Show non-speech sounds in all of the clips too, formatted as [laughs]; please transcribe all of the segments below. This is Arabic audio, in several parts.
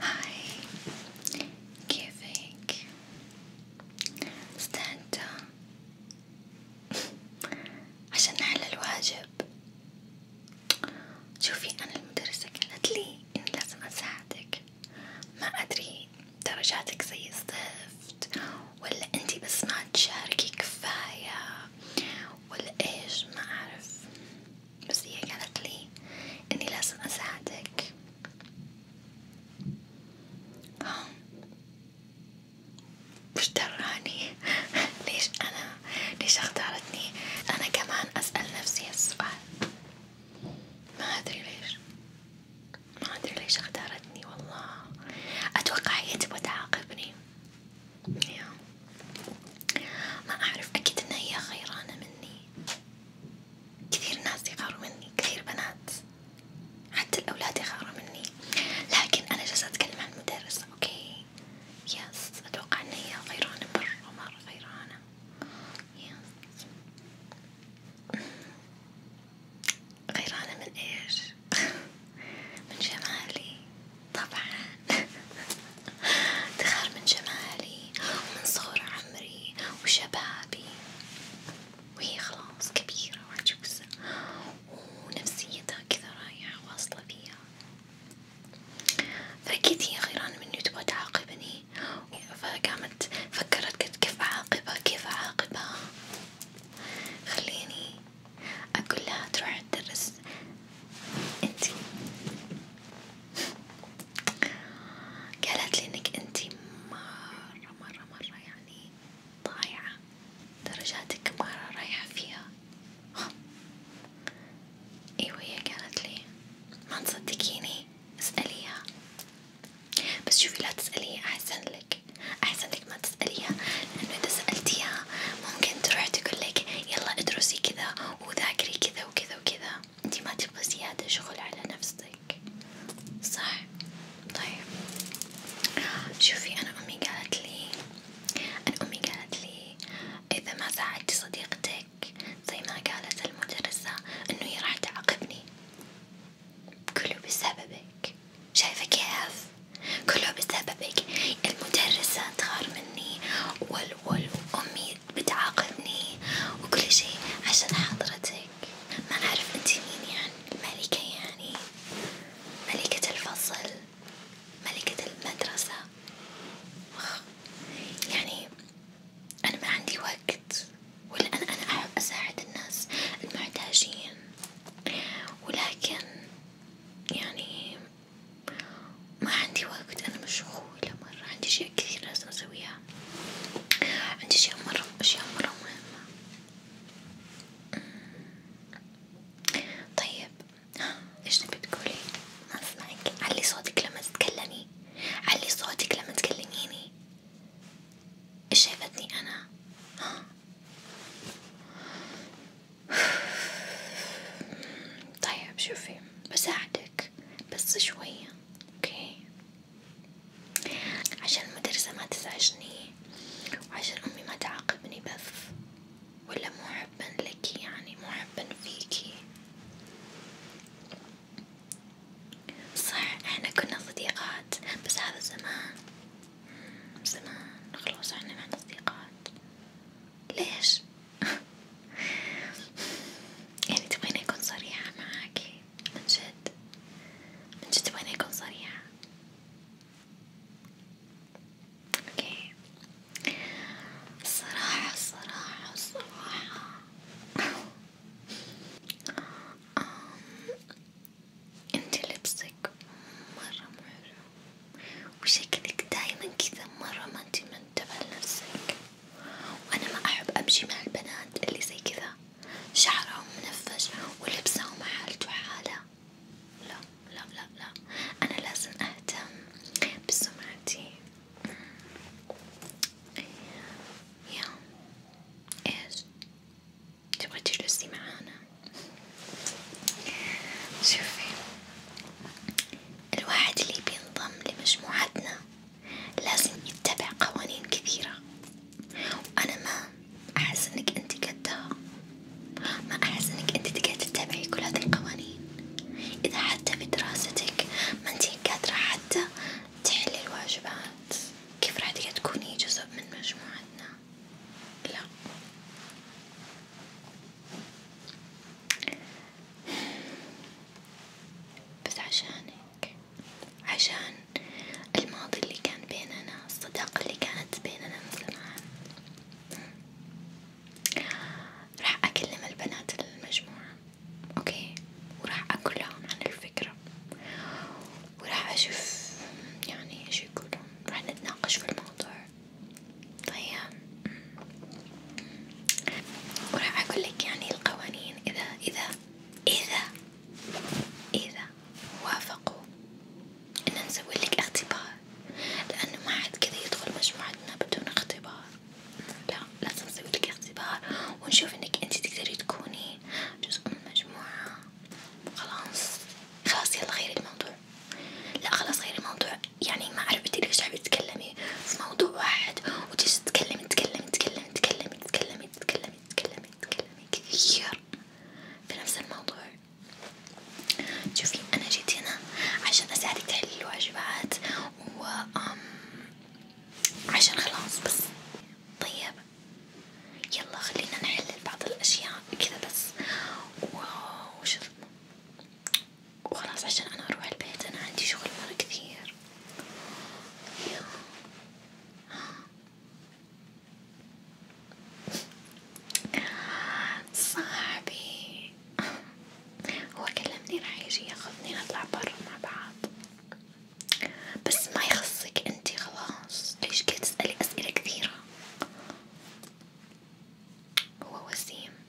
هاي كيفك؟ استنت عشان نحل الواجب شوفي أنا المدرسة قالت لي إني لازم أساعدك ما أدري درجاتك زي الزفت ولا أنتي بس ما تشاركي كفاية ولا إيش ما أعرف بس هي قالت لي إني لازم أساعدك وش دراني ليش أنا ليش اختارتني أنا كمان أسأل نفسي السؤال ما أدري ليش ما أدري ليش اختارتني والله أتوقع هي تبغى تعاقبني ما أعرف أكيد إن هي خيرانة مني كثير ناس يغاروا مني كثير بنات حتى الأولاد يغاروا مني لكن أنا جالسة أتكلم عن مدرسة أوكي يس أتوقع إن هي غيرانة مرة مرة غيرانة يس غيرانة من إيش؟ [laughs] من جمالي طبعا [laughs] تخار من جمالي ومن صغر عمري وشبابي وهي خلاص كبيرة وعجوزة ونفسيتها كذا رايحة واصلة فيها فأكيد هي غيران مني تبغى تعاقبني فقامت فكرت قد كيف أعاقبها كيف أعاقبها خليني أقول لها تروح تدرس انتي قالت لي انك انتي مرة مرة مرة يعني ضايعة درجاتك مرة رايحة فيها ايوه هي قالت لي ما تصدقيني اسأليها بس شوفي لا تسأليها احسن لك احسن لك ما تسأليها لانه اذا سألتيها ممكن تروح تقول لك يلا ادرسي كذا وذاكري كذا وكذا وكذا انتي ما تبغى زيادة شغل على نفسك صح؟ طيب شوفي أنا أمي قالت لي أنا أمي قالت لي إذا ما ساعدتي صديقتك زي ما قالت المدرسة إنه هي راح تعاقبني كله بسببك شايفة كيف؟ كله بسببك المدرسة تغار مني وال والوال وأمي بتعاقبني وكل شي عشان حضرتك ما أعرف أنتي مين يعني الملكة يعني ملكة الفصل ملكة المدرسة يعني أنا ما عندي وقت ولا أنا أنا أحب أساعد الناس المحتاجين ولكن يعني ما عندي وقت أنا مشغولة مرة عندي أشياء كثير لازم أسويها عندي أشياء مرة أشياء مرة مهمة طيب إيش تبي تقولي؟ ما أسمعك علي صوتك لما تتكلمي علي صوتك لما تكلميني إيش شايفتني أنا؟ ها طيب شوفي بساعدك بس شوية اوكي عشان المدرسة ما تزعجني وعشان امي ما تعاقبني بس ولا مو حبا لك يعني مو حبا فيكي صح احنا كنا صديقات بس هذا زمان زمان خلاص احنا ما عنا صديقات ليش؟ [laughs] يعني تبغيني أكون صريحة معاكي من جد من جد تبغيني أكون صريحة اوكي الصراحة الصراحة الصراحة انتي لبسك مرة مرة وشكلك دايما كذا مرة ما انتي منتبه لنفسك وأنا ما أحب أمشي مع البنات اللي زي كذا شعرهم منفش ولبسهم حالته حالة لا لا لا لا أنا لازم أهتم بسمعتي يا إيش تبغي تجلسي معانا شوفي الواحد اللي بينضم لمجموعتنا لازم يتبع قوانين كثيرة وأنا ما أحس إنك أنت قدها ما أحس إنك أنت تقدر تتبعي كل هذه القوانين إذا حتى بدراستك ما أنت قادرة حتى تحلي الواجبات كيف راح تقدر تكوني جزء من مجموعتنا؟ لا بس عشانك عشان الماضي اللي كان بيننا الصداقة اللي كانت بيننا من زمان راح أكلم البنات المجموعة أوكي وراح أقول لهم عن الفكرة وراح أشوف يعني إيش يقولون راح نتناقش في الموضوع طيب وراح أقول لك يعني القوانين إذا إذا إذا إذا وافقوا إن نسوي لك اختبار لأنه ما حد كذا يدخل مجموعتنا بدون اختبار لا لازم نسوي لك اختبار ونشوف إنك أنت تقدري تكوني جزء من المجموعة خلاص خلاص يلا غير الموضوع لا خلاص غير الموضوع يعني ما عرفتي قلتلك شحال تتكلمي في موضوع واحد وتجي تتكلمي تتكلمي تتكلمي تتكلمي تتكلمي تتكلمي تتكلمي تتكلمي كثير في نفس الموضوع شوفي أنا جيت هنا عشان أساعدك تحلي الواجبات و عشان خلاص بس طيب يلا خلينا نحلل بعض الأشياء كذا بس وش وخلاص عشان أنا أروح البيت أنا عندي شغل مرة كثير صاحبي هو كلمني راح يجي ياخذني نطلع برا مع بعض بس ما يخصك انتي خلاص ليش قاعدة تسألي أسئلة كثيرة هو وسيم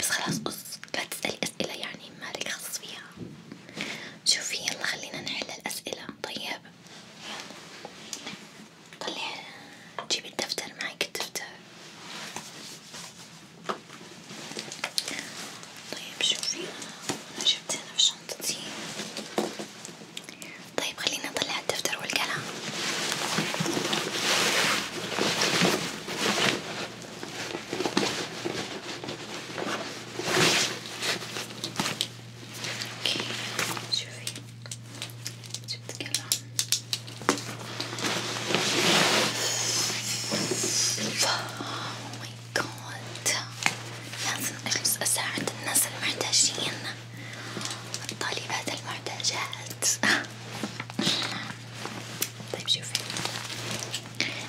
بس خلاص قص لا تسألي أسئلة يعني مالك خصص فيها شوفي يلا خلينا نحل الأسئلة طيب يلا طلعي جيبي الدفتر معك الدفتر طيب شوفي أنا جبت هنا في شنطتي طيب خلينا نطلع الدفتر والقلم اوكي شوفي جبت قلم اوه ماي جاد لازم اجلس اساعد الناس المحتاجين الطالبات المحتاجات طيب شوفي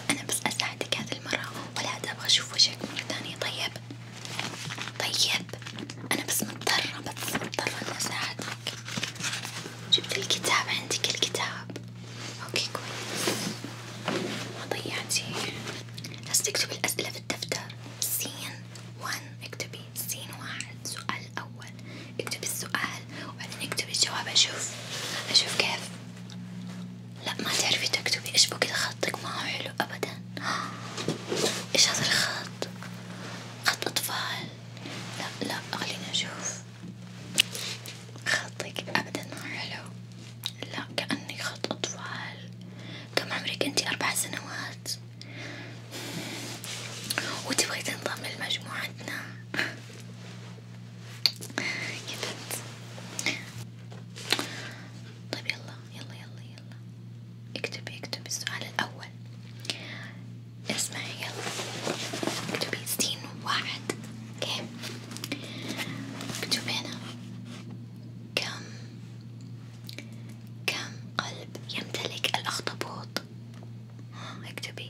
أنا بس أساعدك هذه المرة ولا أبغى أشوف وجهك مرة ثانية طيب طيب أنا بس مضطرة بس مضطرة إني أساعدك جبت الكتاب عندك الكتاب أوكي كويس ما ضيعتي بس تكتب الأسئلة في الدفتر سين ون اكتب كاتبين سين واحد سؤال أول اكتب السؤال وبعدين اكتب الجواب أشوف أشوف كيف لا ما تعرفي تكتبي إيش بكذا خطك ما هو حلو أبدا [gasps] إيش هذا الخط خط أطفال لا لا خليني أشوف خطك أبدا ما هو حلو لا كأني خط أطفال كم عمرك أنتي أربع سنوات وتبغي تنضم لمجموعتنا يا بنت طيب يلا يلا يلا يلا اكتبي اكتبي السؤال الأول اسمعي يلا اكتبي سين واحد اوكي اكتبي هنا كم كم قلب يمتلك الأخطبوط اكتبي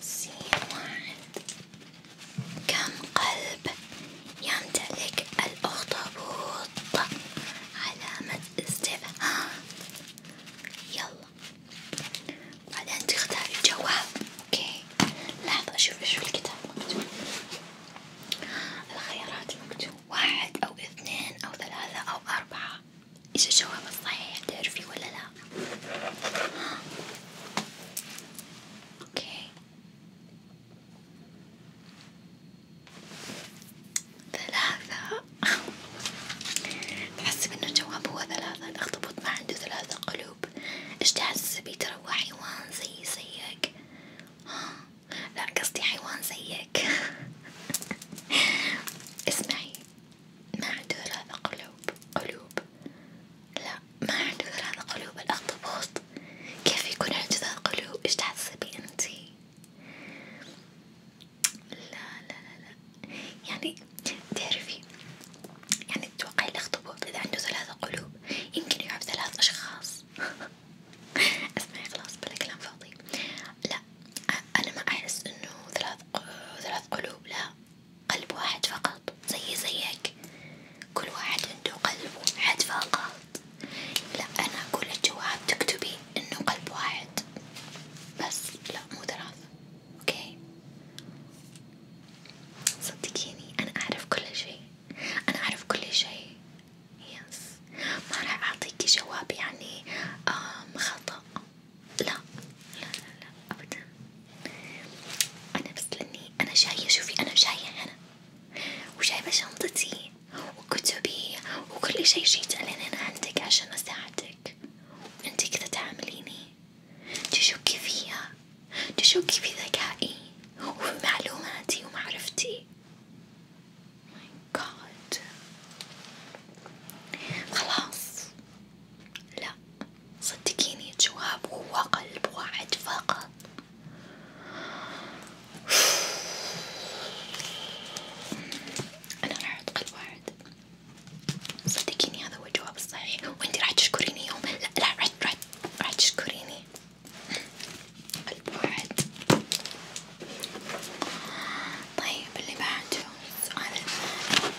سين كم قلب يمتلك الأخطبوط علامة استفهام يلا بعدين تختاري الجواب اوكي لحظة اشوف ايش في الكتاب مكتوب الخيارات المكتوب واحد او اثنين او ثلاثة او اربعة ايش الجواب الصحيح تعرفي ولا لا؟ اوكي ثلاثة تحسب ان الجواب هو ثلاثة الاخطبوط ما عنده ثلاثة قلوب ايش تحسبي ترى هو حيوان زي زيك لا قصدي حيوان زيك [laughs] اسمعي ما عنده إرادة قلوب قلوب لا ما عنده إرادة قلوب الأخطبوط كيف يكون عنده قلوب إيش تحسبي أنتي؟ لا لا لا لا يعني تعرفي يعني تتوقعي الأخطبوط إذا عنده ثلاثة قلوب يمكن يعب ثلاث أشخاص [laughs] اسمعي خلاص بلا كلام فاضي لا أنا ما أحس إنه ثلاث ثلاث قلوب لا قلب واحد فقط زي زيك كل واحد عنده قلب واحد فقط لا أنا أقول الجواب تكتبي إنه قلب واحد بس لا مو ثلاثة أوكي صدقيني أنا أعرف كل شيء أنا أعرف كل شيء يس ما راح أعطيكي جواب يعني آه، خطأ لا لا لا, لا أبدا أنا بس لأني أنا جاية شوفي أنا جاية هنا وجايبة شنطتي وكتبي وكل شي جيت ألين أنا عندك عشان أساعدك أنتي كذا تعامليني تشكي فيا تشكي في ذكائي وفي معلوماتي ومعرفتي ماي oh جاد خلاص لا صدقيني الجواب هو قلب واحد فقط أنا راح أحط قلب واحد صدقيني هذا هو الجواب الصحيح وأنتي راح تشكريني يوم لا لا راح راح راح تشكريني قلب واحد طيب اللي بعده السؤال المهم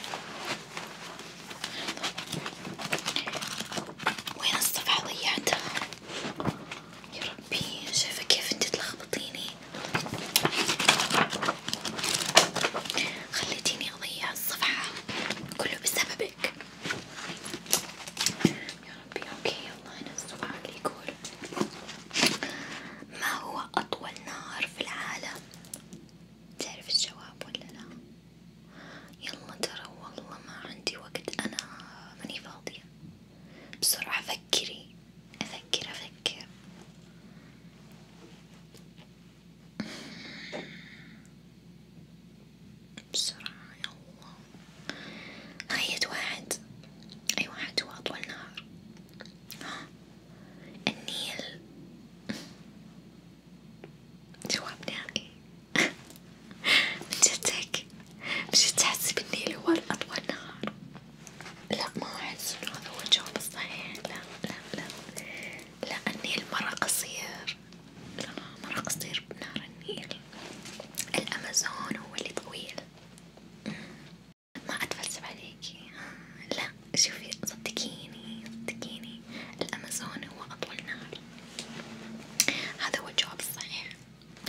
وين الصفحة ضيعتها؟ يا ربي شايفة كيف انت تلخبطيني خليتيني اضيع الصفحة كله بسببك يا ربي اوكي يلا هنا السؤال يقول ما هو أطول نهر في العالم؟ تعرف الجواب ولا لا؟ يلا ترى والله ما عندي وقت أنا ماني فاضية بسرعة فكري أفكر أفكر بسرعة يلا هاي واحد أي واحد هو أطول نهار النيل جواب نهائي من جدك مش تحسي بالنيل هو الأطول نهار لا ما أحس إنه هذا هو الجواب الصحيح لا لا لا لا النيل مرة قصير لا مرة قصير بنهر النيل الأمازون هو اللي طويل ما أتفلسف عليكي لا شوفي صدقيني صدقيني الأمازون هو أطول نهر هذا هو الجواب الصحيح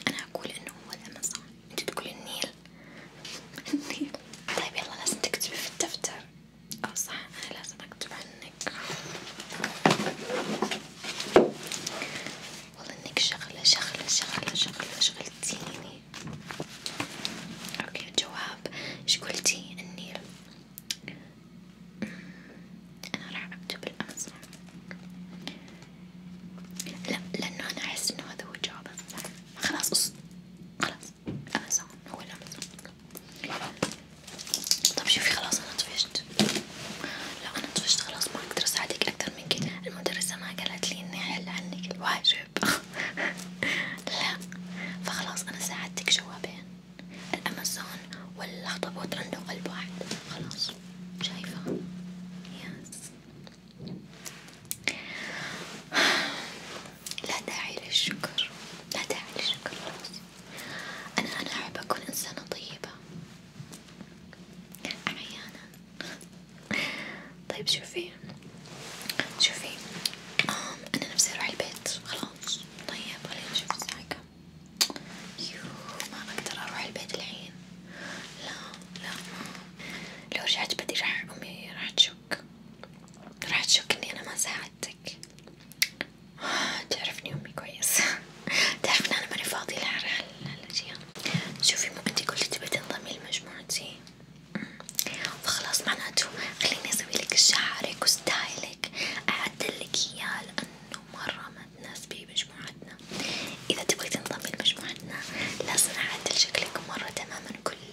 أنا أقول إنه هو الأمازون أنت تقول النيل النيل طيب يلا لازم تكتبي في الدفتر أو صح أنا لازم أكتب عنك والله إنك شغلة شغلة شغلة شغلة شغلتيني اوكي الجواب ايش قلتي النيل أمم، انا راح اكتب الامازون لا لانه انا احس انه هذا هو الجواب الصح خلاص أص... خلاص امازون هو الامازون طب شوفي خلاص انا طفشت لا انا طفشت خلاص ما اقدر اساعدك اكثر من كده المدرسة ما قالت لي اني احل عنك الواجب [laughs] لا فخلاص أنا ساعدتك جوابين الأمازون والأخطبوط عنده قلب واحد خلاص شايفة يس لا داعي للشكر لا داعي للشكر خلاص أنا أنا أحب أكون إنسانة طيبة أحيانا طيب شوفي شوفي أنا نفسي أروح البيت خلاص طيب خليني نشوف الساعة كم يوه ما أقدر أروح البيت الحين لا لا ما لو رجعت بدي راح أمي راح تشك راح تشك إني أنا ما ساعدتك تعرفني أمي كويس تعرف إن أنا ماني فاضية لها الأشياء شوفي مو أنتي قلتي تبي تنضمي لمجموعتي فخلاص معناته خليني اسوي لك شعرك وستايلك اعدلك اياه لانه مرة ما تناسبي مجموعتنا اذا تبغي تنضمي لمجموعتنا لازم اعدل شكلك مرة تماما كليا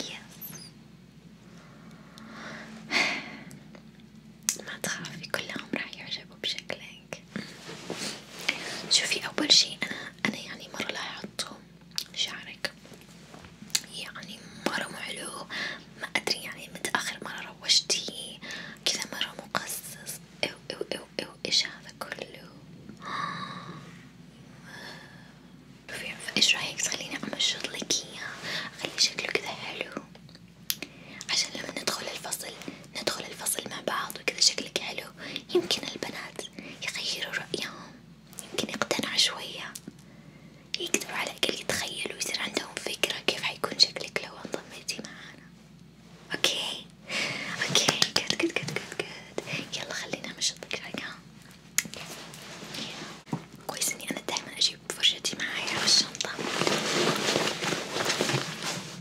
يس ما تخافي كلهم راح يعجبوا بشكلك عليك شوفي أول شي أنا أنا يعني مرة لاحظته شعرك يعني مرة مو حلو ما أدري يعني متى آخر مرة روشتيه كذا مرة مقصص أو أو أو أو إيش هذا كله فإيش رأيك تخليني أمشط لك إياه أخلي شكله كذا حلو عشان لما ندخل الفصل ندخل الفصل مع بعض وكذا شكلك حلو يمكن البنات يغيروا رأيهم يمكن يقتنعوا شوية يقدروا على الأقل يتخيلوا ويصير عندهم فكرة كيف حيكون شكلك لو انضميتي معانا اوكي اوكي جود جود جود جود يلا خلينا نشطك شوية كويس اني انا دايما اجيب فرشتي معايا في الشنطة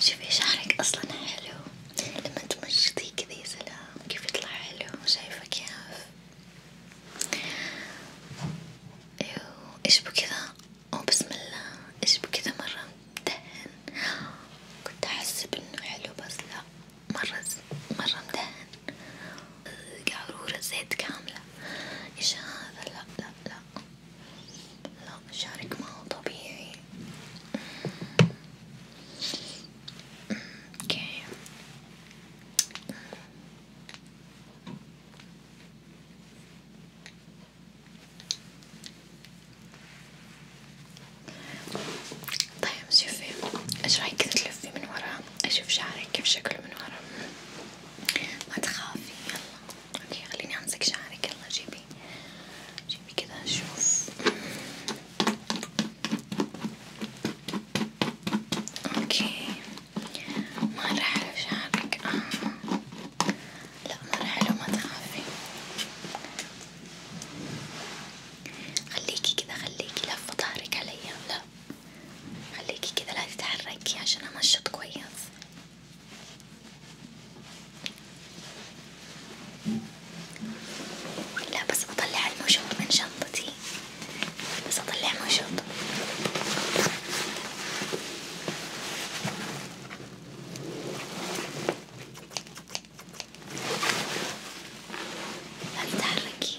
شوفي شعرك اصلا حلو لما تمشطيه كذا يا سلام كيف يطلع حلو شايفه كيف ايوه ايش بكذا او بسم الله ايش بكذا مره مدهن كنت احسب انه حلو بس لا مره مره مدهن قعرورة زيت كاملة ايش هذا لا لا لا لا شعرك ما هو طبيعي اوكي طيب شوفي ايش رايك تلفي من ورا اشوف شعرك كيف شكله من ورا ما تخافي يلا اوكي خليني امسك شعرك يلا جيبي جيبي كده نشوف اوكي مرة حلو شعرك آه. لا مرة حلو ما تعرفي خليكي كده خليكي لفة ظهرك عليا لا خليكي كده لا تتحركي عشان امشط كويس لا بس بطلع المشط من شنطتي بس اطلع مشط لا تتحركي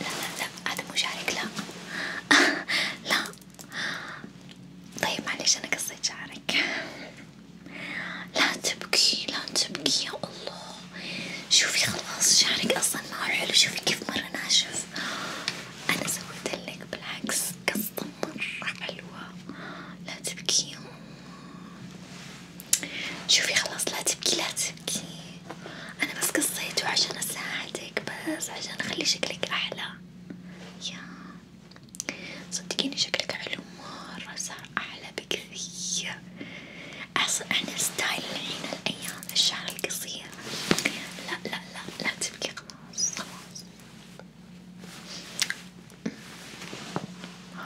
لا لا لا هذا مو شعرك لا [laughs] لا طيب معلش أنا قصيت شعرك لا تبكي لا تبكي يا الله شوفي خلاص شعرك أصلا ما هو حلو شوفي كيف مرة ناشف أنا سويتلك بالعكس قصة مرة حلوة لا تبكي شوفي خلاص لا تبكي لا تبكي انا بس قصيته عشان اساعدك بس عشان اخلي شكلك احلى يا صدقيني شكلك حلو مرة صار احلى بكثير احسن احنا ستايل الحين الايام الشعر القصير لا لا لا لا تبكي خلاص خلاص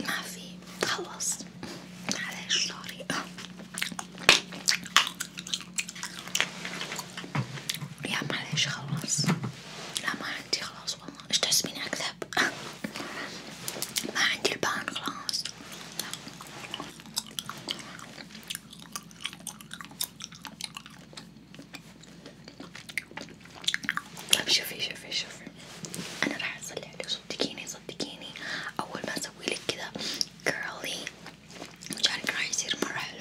ما في خلص معليش سوري يا معليش خلص لا ما عندي خلاص والله ايش تحسبيني اكذب ما عندي البان خلاص طيب شوفي شوفي شوفي انا راح اصلي عليك صدقيني صدقيني اول ما اسوي لك كذا كيرلي مشارك راح يصير مرة حلو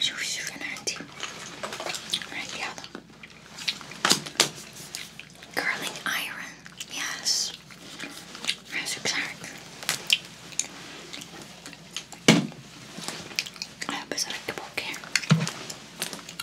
شوفي شوفي انا عندي عندي هذا curling iron yes that's exact I hope it's like the book here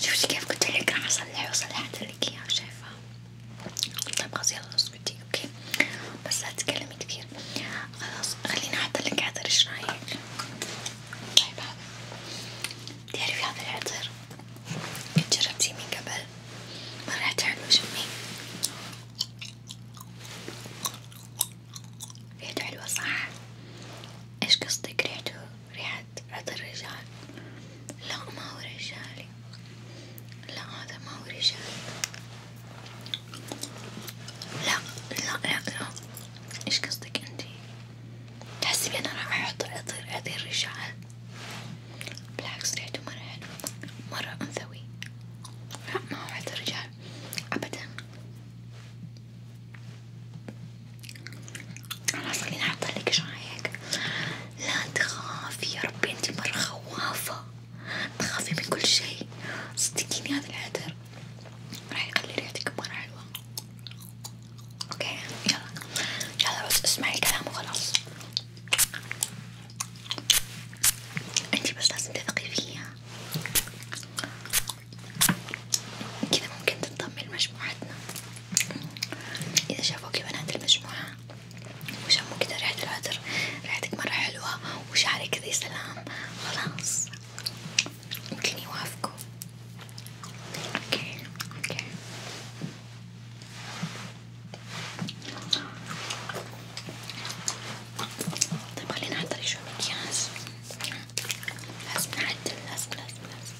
شفتي كيف قلت لك راح اصلح وصلحت لك اياه شايفه طيب خلاص يلا اسكتي اوكي بس لا تتكلمي كثير خلاص خليني احط لك عطر ايش رايك طيب هذا تعرفي هذا العطر جربتيه من قبل مرة حلو شمي ريحته حلوة صح؟ ايش قصدك ريحته ريحة عطر رجال لا ما هو رجالي لا هذا ما هو رجال لا لا لا لا ايش قصدك انتي تحسبي انا راح احط عطر عطر رجال بالعكس ريحته مرة حلوة مرة انثوي لا ما هو عطر رجال ابدا خلاص خليني احطلك شايك لا تخافي يا ربي انتي مرة خوافة تخافي من كل شي صدقيني هذا العطر راح يخلي ريحتك مرة حلوة اوكي يلا يلا بس اسمعي الكلام وخلاص انتي بس لازم تثقي فيا كذا ممكن تنضم لمجموعتنا إذا شافوكي بنات المجموعة وشموا كذا ريحة العطر ريحتك مرة حلوة وشعرك كذا سلام خلاص ممكن يوافقوا اوكي اوكي طيب خلينا نحضر شوي مكياج لازم نعدل لازم لازم لازم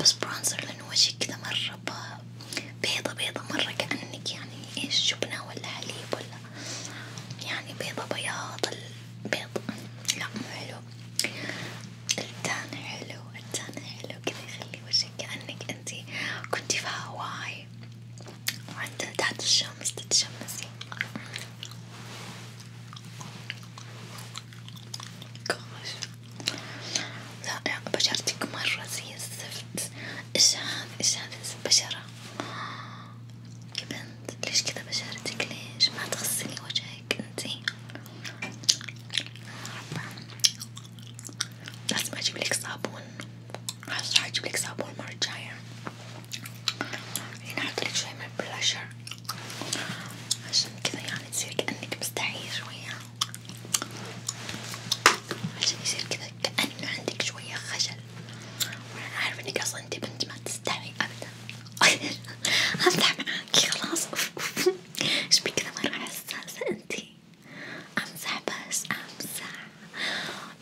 بس برونزر لأن وجهك كذا مرة بيضة بيضة مرة كأنك يعني إيش جبنة ولا حليب ولا يعني بيضة بياض البيض لا مو حلو التان حلو التان حلو كذا يخلي وجهك كأنك أنتي كنتي في هواي وعند تحت الشمس تتشمسي gosh لا بشرتك مرة زي الزفت ايش هذا ايش هذا البشرة يا بنت ليش كذا بشرتك ليش ما تغسلي وجهك انتي لازم اجيب لك صابون خلاص راح اجيب لك صابون المرة الجاية هنا احط لك شوي من البلاشر عشان كذا يعني تصير كأنك مستحية شوية عشان يصير كذا كأنه عندك شوية خجل وأنا عارفة إنك أصلا أنت بنت ما تستحي أبدا [laughs] أفتح معاكي خلاص [laughs] إيش بك كذا مرة حساسة أنتي أمزح بس أمزح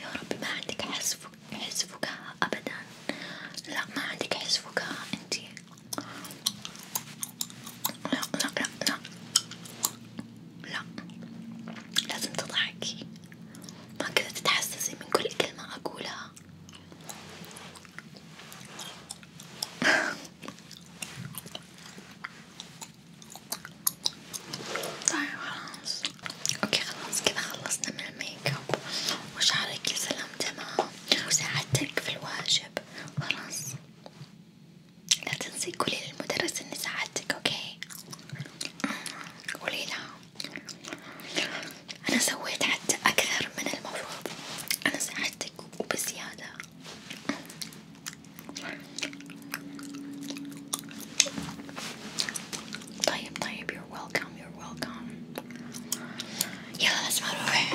يا ربي ما عندك حس حس فكاهة أبدا لا ما عندك حس فكاهة أنتي لا لا لا لا لا لازم تضحكي ما كذا تتحسسي من كل كلمة أقولها طيب خلاص اوكي خلاص كذا خلصنا من الميك اب وشعرك يا سلام تمام وساعدتك في الواجب خلاص لا تنسي قولي للمدرس اني ساعدتك اوكي قولي لها انا سويت حتى اكثر من المفروض انا ساعدتك وبزيادة طيب طيب you're welcome you're welcome يلا لازم اروح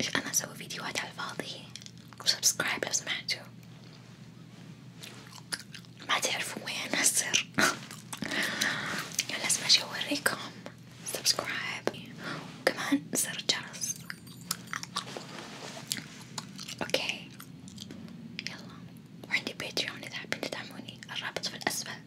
ايش انا اسوي فيديوهات على الفاضي وسبسكرايب لو سمحتوا ما تعرفوا وين السر [laughs] لازم اجي اوريكم سبسكرايب وكمان زر الجرس اوكي يلا وعندي باتريون اذا حابين تدعموني الرابط في الاسفل